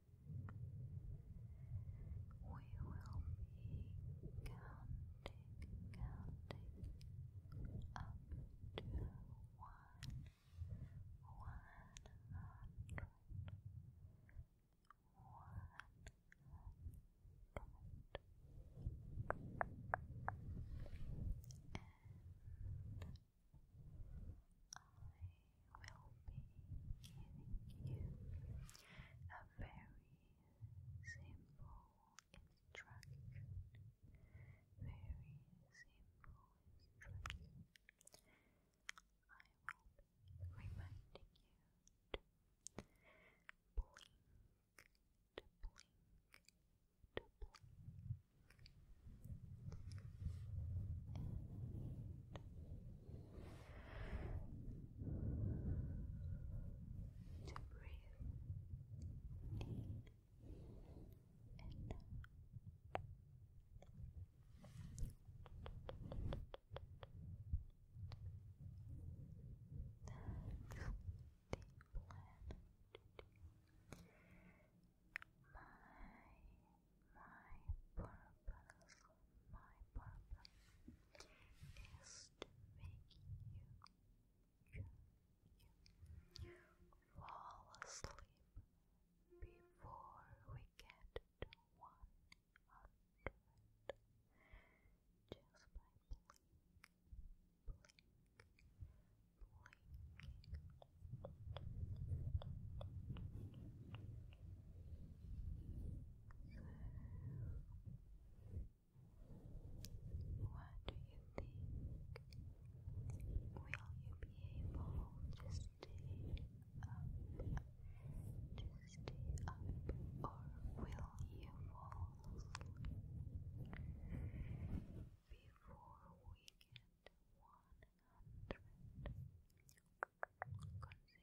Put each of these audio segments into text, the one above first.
We will be counting, counting up to one, one hundred, one hundred, will be giving you a very simple instruction. Very simple instruction. I will be reminding you to blink, to blink, to blink to breathe and out. That's plan. My my purpose, my purpose is to make you, you, you fall asleep before we get to 100 just by blink, blink, blinking. So, what do you think? Will you be able to stay up? To stay up, or will you fall before we get one hundred?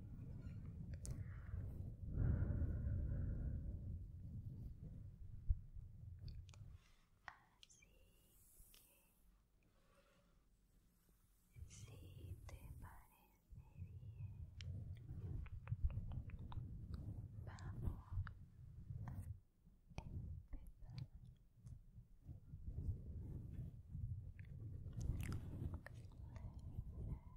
que si te parece bien vamos a empezar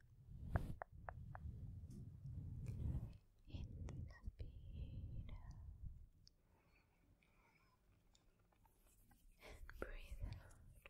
in the speed and breathe out. And that's 20,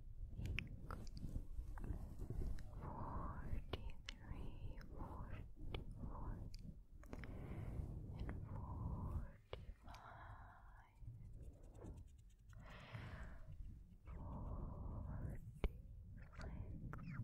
forty-three, forty-four, and forty-five, forty-six, forty-seven, and blink,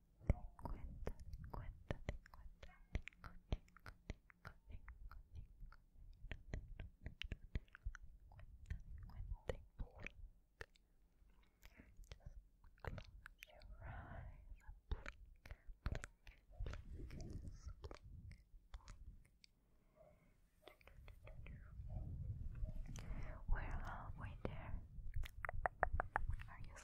cincuenta, cincuenta, cincuenta, cinco, cinco, cinco, cinco, Just close your eyes and blink, blink, blink, blink, blink. We're halfway there. Are you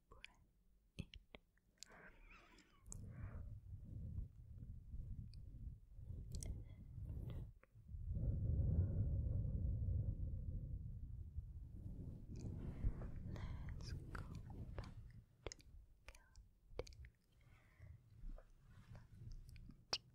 in. And let's go back to counting. One,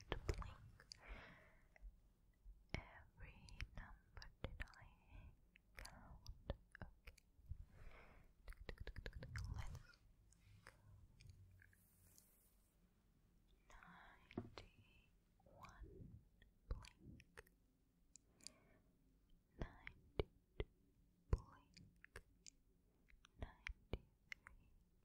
trying to blink. Every number did I count? Okay. let Ninety one blink. Ninety two blink. Ninety three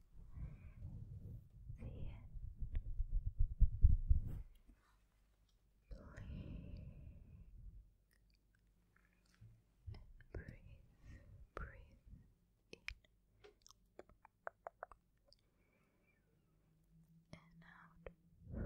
see it. Blink. Breathe, breathe in and out. Good.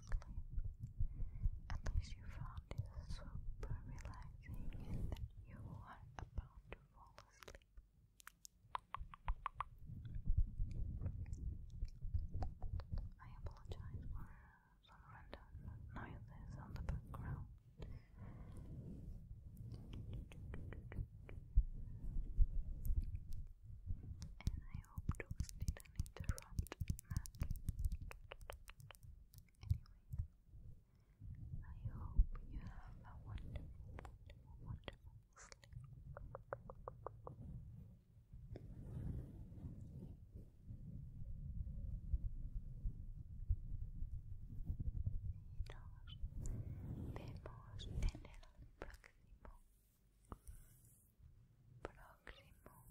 sleep. At least you found it super relaxing that you are about to fall asleep. I apologize for some random noises on the background. And I hope those didn't interrupt Anyway, I hope you have a wonderful, wonderful, sleep. Nos vemos en el próximo. Próximo